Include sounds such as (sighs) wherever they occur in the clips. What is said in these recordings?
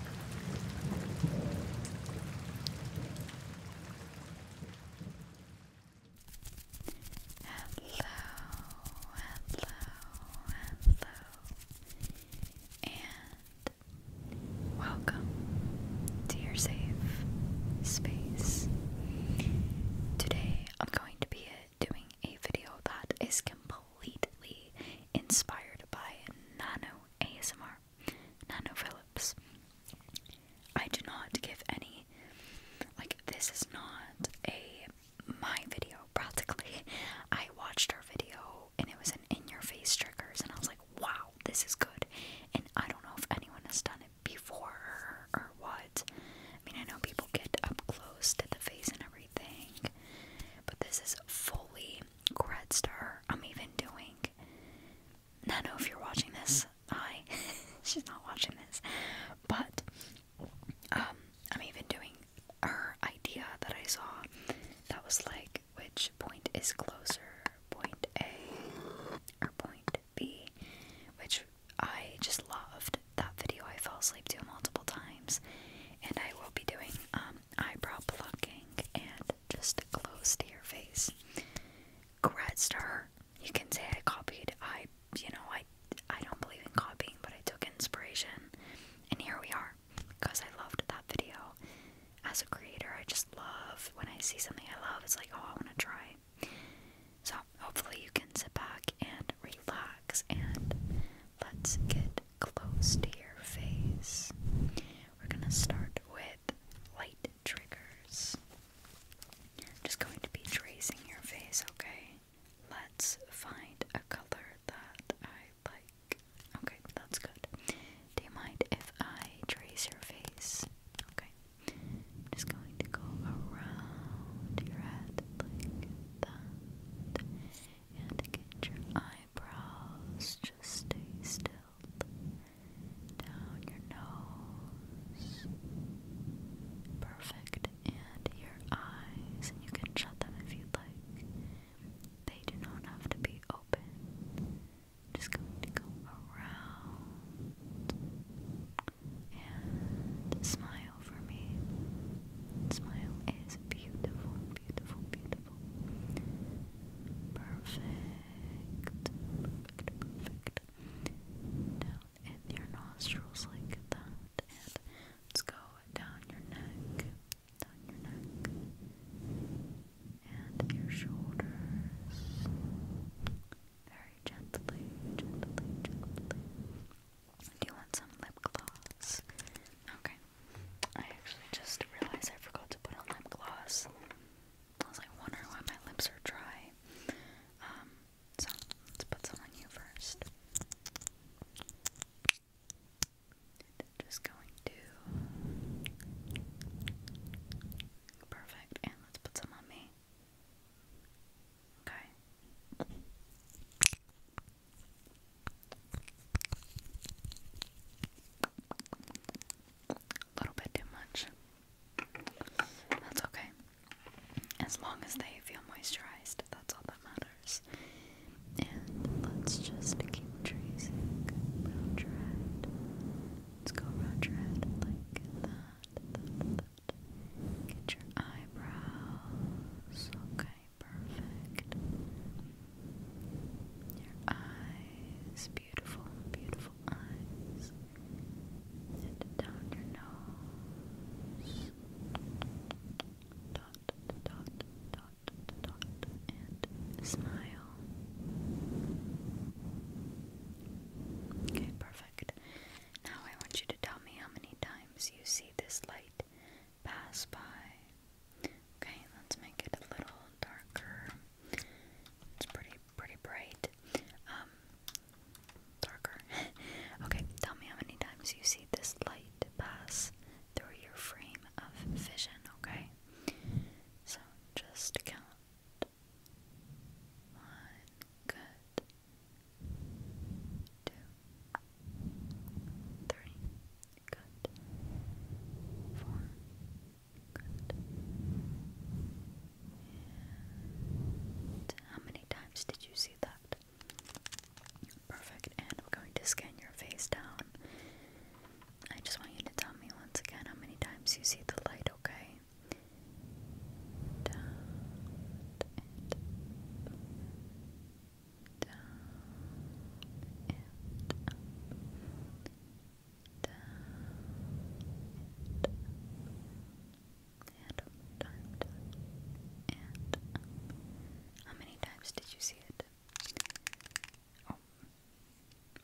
hello, hello, and welcome to your safe space. Today I'm going to be doing a video that is completely inspired by nano ASMR, Nano Phillips. I do not give any, like, this is not a my video, practically. (laughs) I watched her video and it was an in your face triggers, and I was like, wow, this is good. And I don't know if anyone has done it before or what. I mean, I know people get up close to the face and everything, but this is fully Congrats I'm even doing. I know if you're watching this, I (laughs) She's not watching this. But um, I'm even doing her idea that I saw that was like which point is closer, point A or point B, which I just loved that video. I fell asleep to multiple times, and I will be doing um um, eyebrow plucking and just close to your face. Congrats to You can say I copied. I, you know, I, I don't believe in copying, but I took inspiration, and here we are. Because I loved that video. As a creator, I just love when I see something I love. It's like, oh, I want to try. So hopefully you can sit back and relax, and let's get close to your face. We're going to start with light triggers. I'm just going to be tracing your face, okay? Let's find a color that I like. Okay, that's good. Do mind if I trace your face? Okay. just going to go around your head like that. And get your eye eyebrows, just stay still. Down your nose. Perfect. And your eyes, and you can shut them if you'd like. They do not have to be open. Just going to go around and smile for me. Smile is beautiful, beautiful, beautiful. Perfect. Perfect, perfect. Down in your nostrils like that. And let's go down your neck. Down your neck. And your shoulders. Very gently, gently, gently. Do you want some lip gloss? Okay. I actually just realized I forgot to put on lip gloss. I was like wondering why my lips are dry. Um, so let's put some on you first. Just going to perfect, and let's put some on me. Okay. A little bit too much. That's okay. As long as they feel moisturized, that's all that matters. And let's just keep tracing around your head. Let's go around your head like that. Get your eyebrows. Okay, Perfect. Your eyes, beautiful, beautiful eyes. And down your nose. Dot, dot, dot, dot, and smile. Okay, perfect. Now I want you to tell me how many times you see this light pass by Okay, let's make it a little darker. It's pretty pretty bright. Um darker. (laughs) okay, tell me how many times you see this light pass through your frame of vision, okay? So just count. One, good. Two, three, how many times did you see that? Perfect. And I'm going to scan your face down. I just want you to tell me once again how many times you see the light, okay? and How many times did you see it? Oh,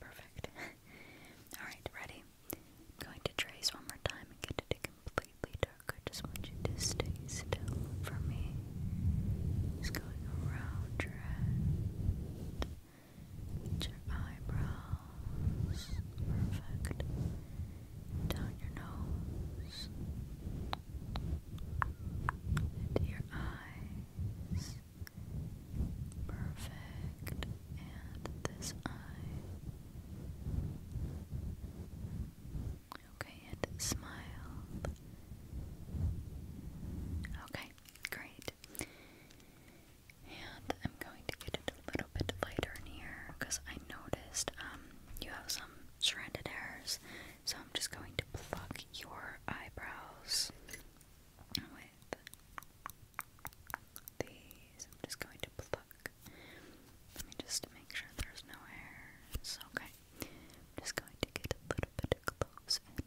perfect. (laughs) Alright, ready? I'm going to trace one more time and get it to completely dark. I just want you to stay still for me. Just going around your head, your eyebrows, perfect, down your nose, into your eyes, perfect, and this eye. Okay, and smile. Okay, Great. And I'm going to get it a little bit lighter in here because I noticed um, you have some stranded hairs. So I'm just going to pluck your eyebrows with these. I'm just going to pluck. Let me just make sure there's no hairs. Okay. I'm just going to get a little bit close and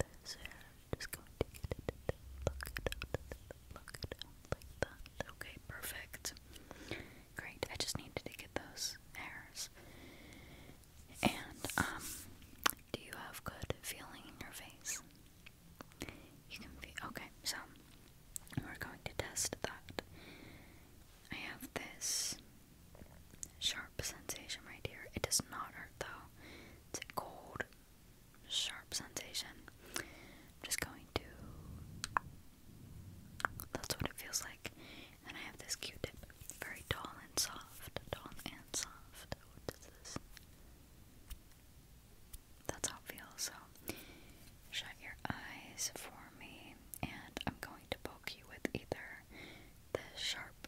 at this hair. I'm just going to pluck it out, pluck it out like that. Okay, perfect. Great. I just needed to get those hairs. And um, do you have good feeling in your face? You can be okay. So we're going to test that. I have this sharp sensation right here. It does not hurt though. It's cold, sharp sensation. just going to. That's what it feels like. And I have this Q-tip, very tall and soft, tall and soft. What is this? That's how it feels. shut your eyes for me, and I'm going to poke you with either the sharp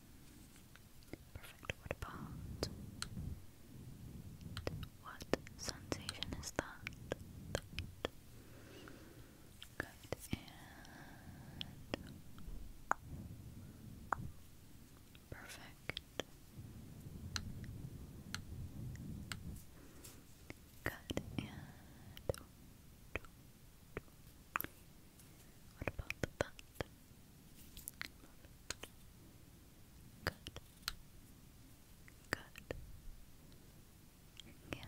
Perfect. What about what sensation is that? Good and perfect. Good and what about that? it. Move Good. Good.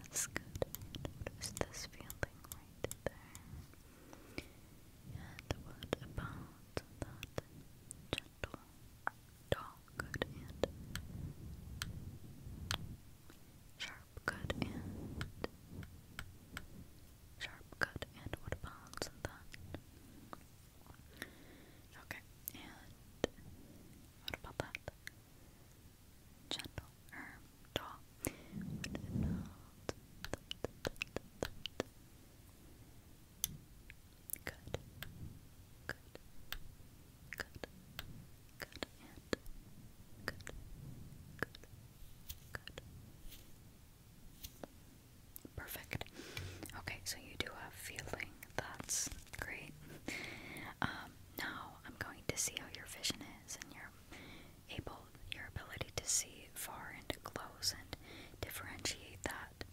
Yes, good. Notice this feeling right there. And what about that gentle dog? Good and sharp. Good and sharp cut and wood bounds and that. Okay, and what about that? Gentle or Good, good, good, good, and good, good, good, Perfect. Okay, so you do have feeling. That's great. Um, now I'm going to see how your vision is and your able your ability to see far and close and differentiate that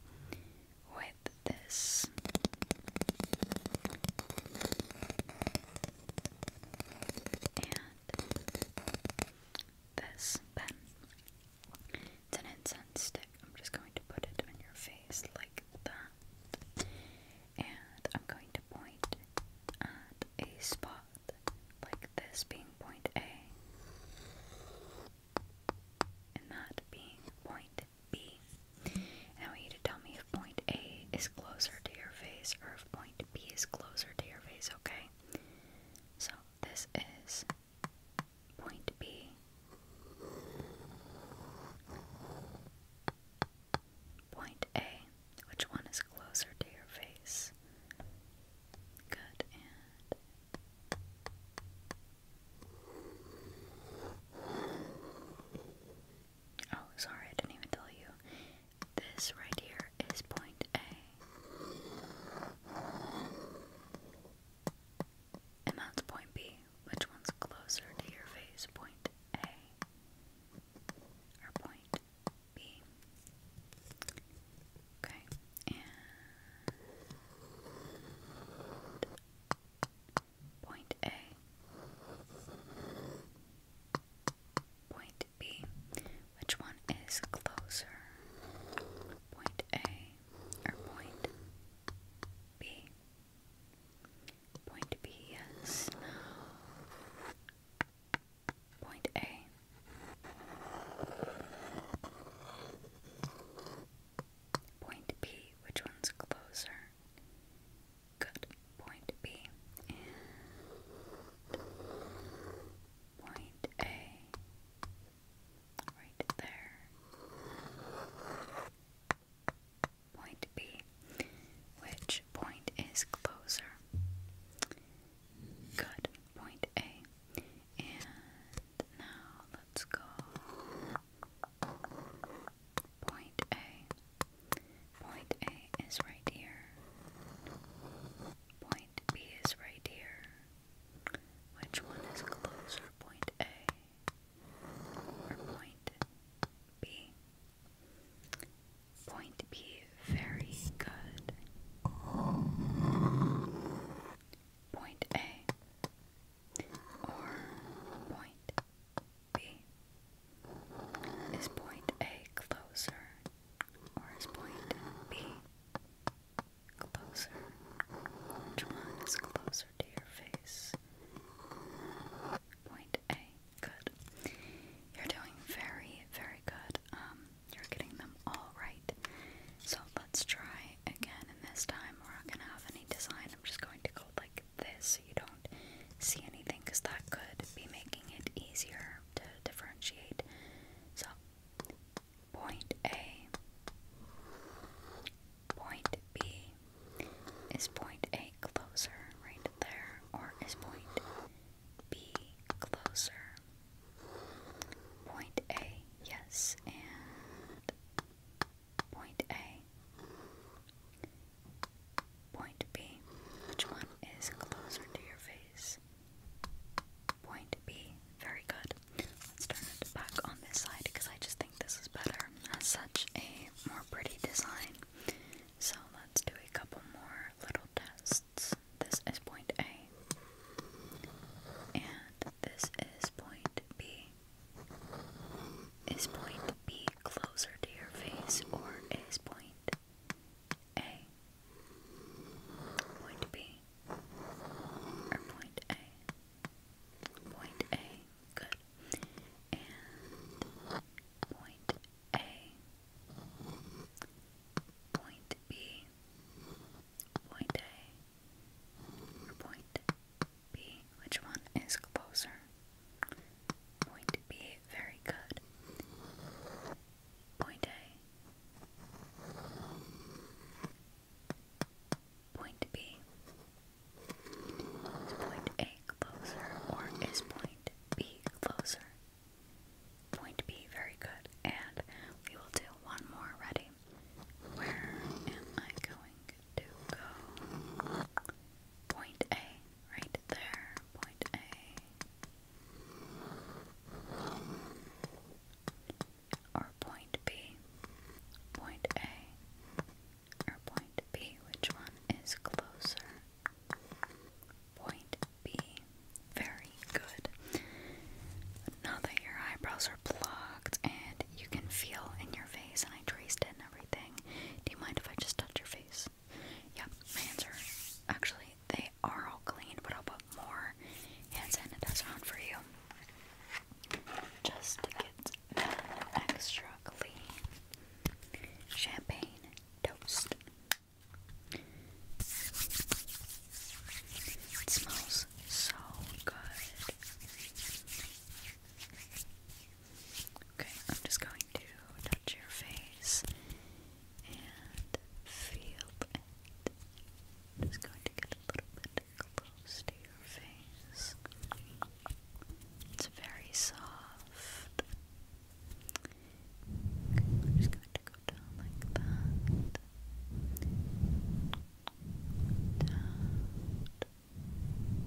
with this this pen. It's an incense stick. I'm just going to put it on your face like that. And I'm going to point at a spot like this being point A. And that being point B. And I want you to tell me if point A is closer to your face or if point B is closer to your face, okay? So this is Point B. Point A. Which one is closer to your face? Good Oh, sorry, I didn't even tell you. This right here here is point A. And that's point B. Which one's closer to your face? Point A or point B? Okay, and point A, point B. Which one is closer? Point A or point B? Point B, yes, Point A. Point B, which one's closer? Good. Point B and point A. Right there. Point B. Which point is closer? Good. Point A. And now let's go. Point A. Point A is right here. Point B is right here. Which one is closer, point A or point B? Point B, very good. Point A or point B? Is point A closer or is point B Closer. Which one closer to your face? Point A. Good. You're doing very, very good. Um, you're getting them all right. So let's try again, and this time we're not gonna have any design. I'm just going to go like this so you don't see anything, because that could be making it easier to differentiate. So Point A. Point B. Is point A closer right there, or is point B closer? Point A, yes, and point A. Point B. Which one is closer to your face? Point B. Very good. Let's turn it back on this side because I just think this is better. as such a more pretty design. So let's do a couple more little tests. This is point A. And this is point B. Is point B closer to your face or is point A point B or point A. Point A, good. And point A, point B, point A, point B. Which one is closer? Point B, very good. Point A, Point B. point A closer or is point B closer? Point B, very good. And we will do one more. Ready? Where am I going to go? Point A, right there. Point A or point B, point A, or point B, which one is closer? Point B. Very good. Now that your eyebrows are blocked and you can feel in your face, and I traced it and everything, do you mind if I just touch your face? Yep, my hands are actually they are all clean. but I'll put more hand sanitizer on for you. Just to get them extra clean. Champagne toast. It smells so good. Okay, I'm just going to touch your face and feel and going to get a little bit close to your face. It's very soft. Okay, we just going to go down like that. Down,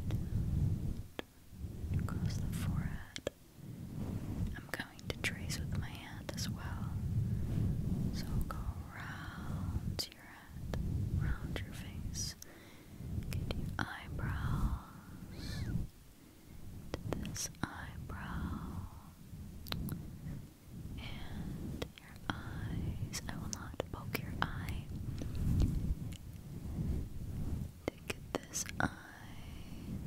down, across the forehead. I'm going to trace with my as well. So go round your head, round your face, get your eyebrows to this eyebrow and your eyes. I will not poke your eye. Take this eye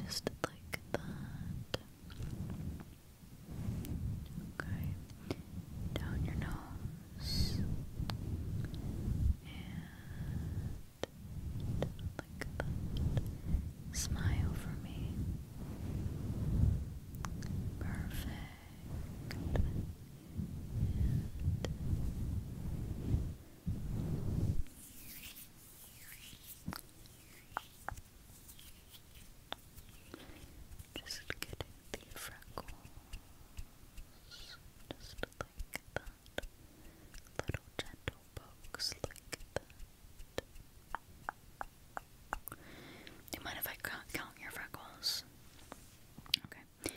just like that. Okay, down your nose and like that. Smile for me. Perfect. Just getting the freckles, just like that. Little gentle pokes Do you mind if I count your freckles? Okay.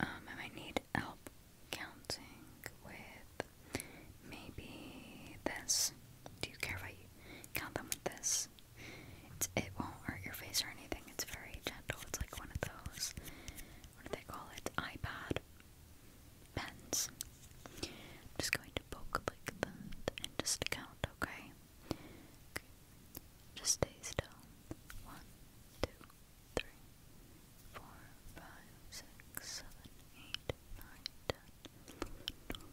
Um, I might need help counting with maybe this. Do you care if I count them with this? it won't hurt your face or anything. It's very gentle. It's like one of those. What do they call it? iPad pens. I'm just going to poke like that and just count. Okay. Just stay still. One, two, three, four, five, six, seven, eight, nine, ten, eleven, twelve.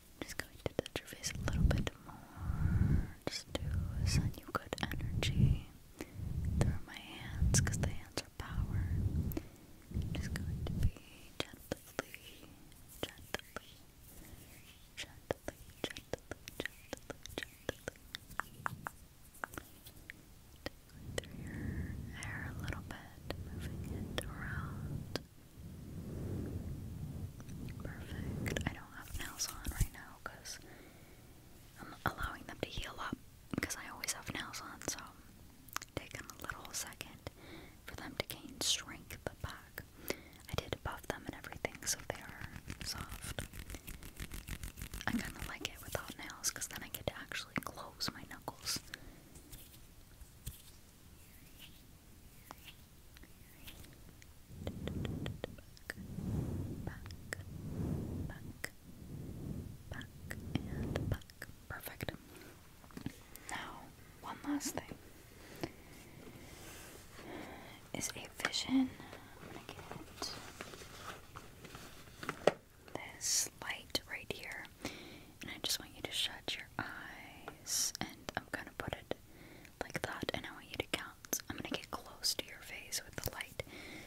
Just going to touch your face a little bit more. Just to send you good energy through my hands, the hands are power. just going to be gently, gently, gently, gently, gently, gently. through your hair a little bit, moving it around. Perfect. I don't have nails on right now because I'm allowing them to heal up because I always have nails on, so taking a little second for them to gain strength back. I did buff them and everything so they are soft. I kind of like it without nails because then I get to actually close my knuckles. Perfect. Now, one last thing is a vision. I'm gonna get this light right here. And I just want you to shut your eyes, and I'm gonna put it like that, and I want you to count. I'm gonna get close to your face with the light.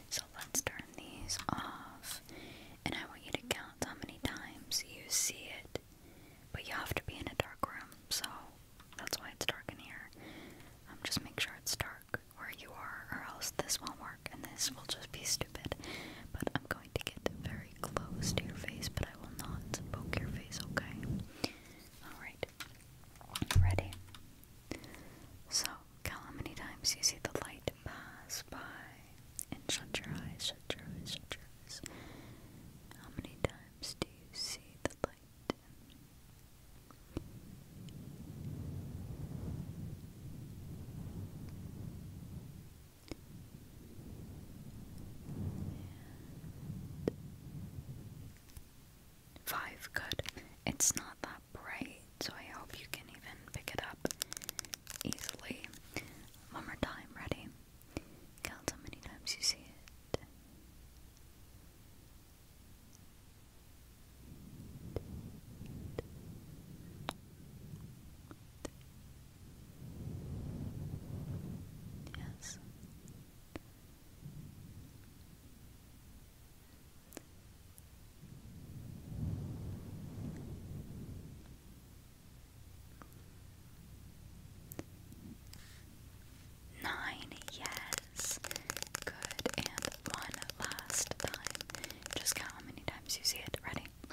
So let's turn these off, and I want you to count how many times you see it. But you have to be in a dark room, so that's why it's dark in here. I'm um, just making sure it's dark where you are, or else this won't work, and this will just be stupid. But I'm going to get very close to your face, but I will not poke your face, okay? Alright. Ready? So, count how many times you see the light pass by and shut your eyes, shut your eyes, shut your eyes. How many times do you see the light? Five, good. It's not that bright, so I hope you can even pick it up easily. One more time, ready? how many times you see it. Yes. Nine, yes. Good. And one last time. Just how many times you see it. Ready?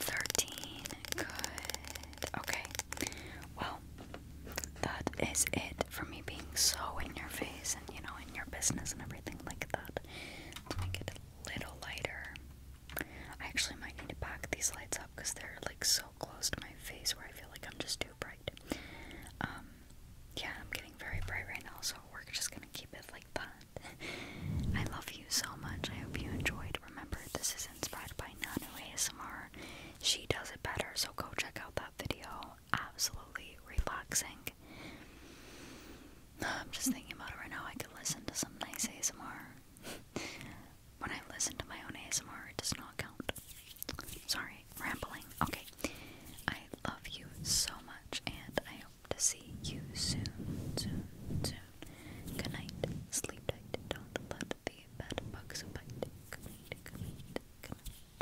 Thirteen. Good. Okay. Well, that is it for me being so in your face and you know in your business and everything like that. Let's make a little lighter. I actually might need to back these lights up because they're like so close to my face where I feel like I'm just too bright. Um, yeah, I'm getting very bright right now, so we're just gonna keep it like that. (laughs) I love you so much. I hope you enjoyed. Remember, this is inspired by Nano ASMR. She does it better, so go check out that video. Absolutely relaxing. (sighs) I'm just thinking about it right now. I could listen to some nice ASMR. (laughs) When I listen to my own ASMR, it does not count. Sorry, rambling. Okay. I love you so much, and I hope to see you soon, soon, soon. Good night. Sleep tight. Don't let the bed bite. Good night, good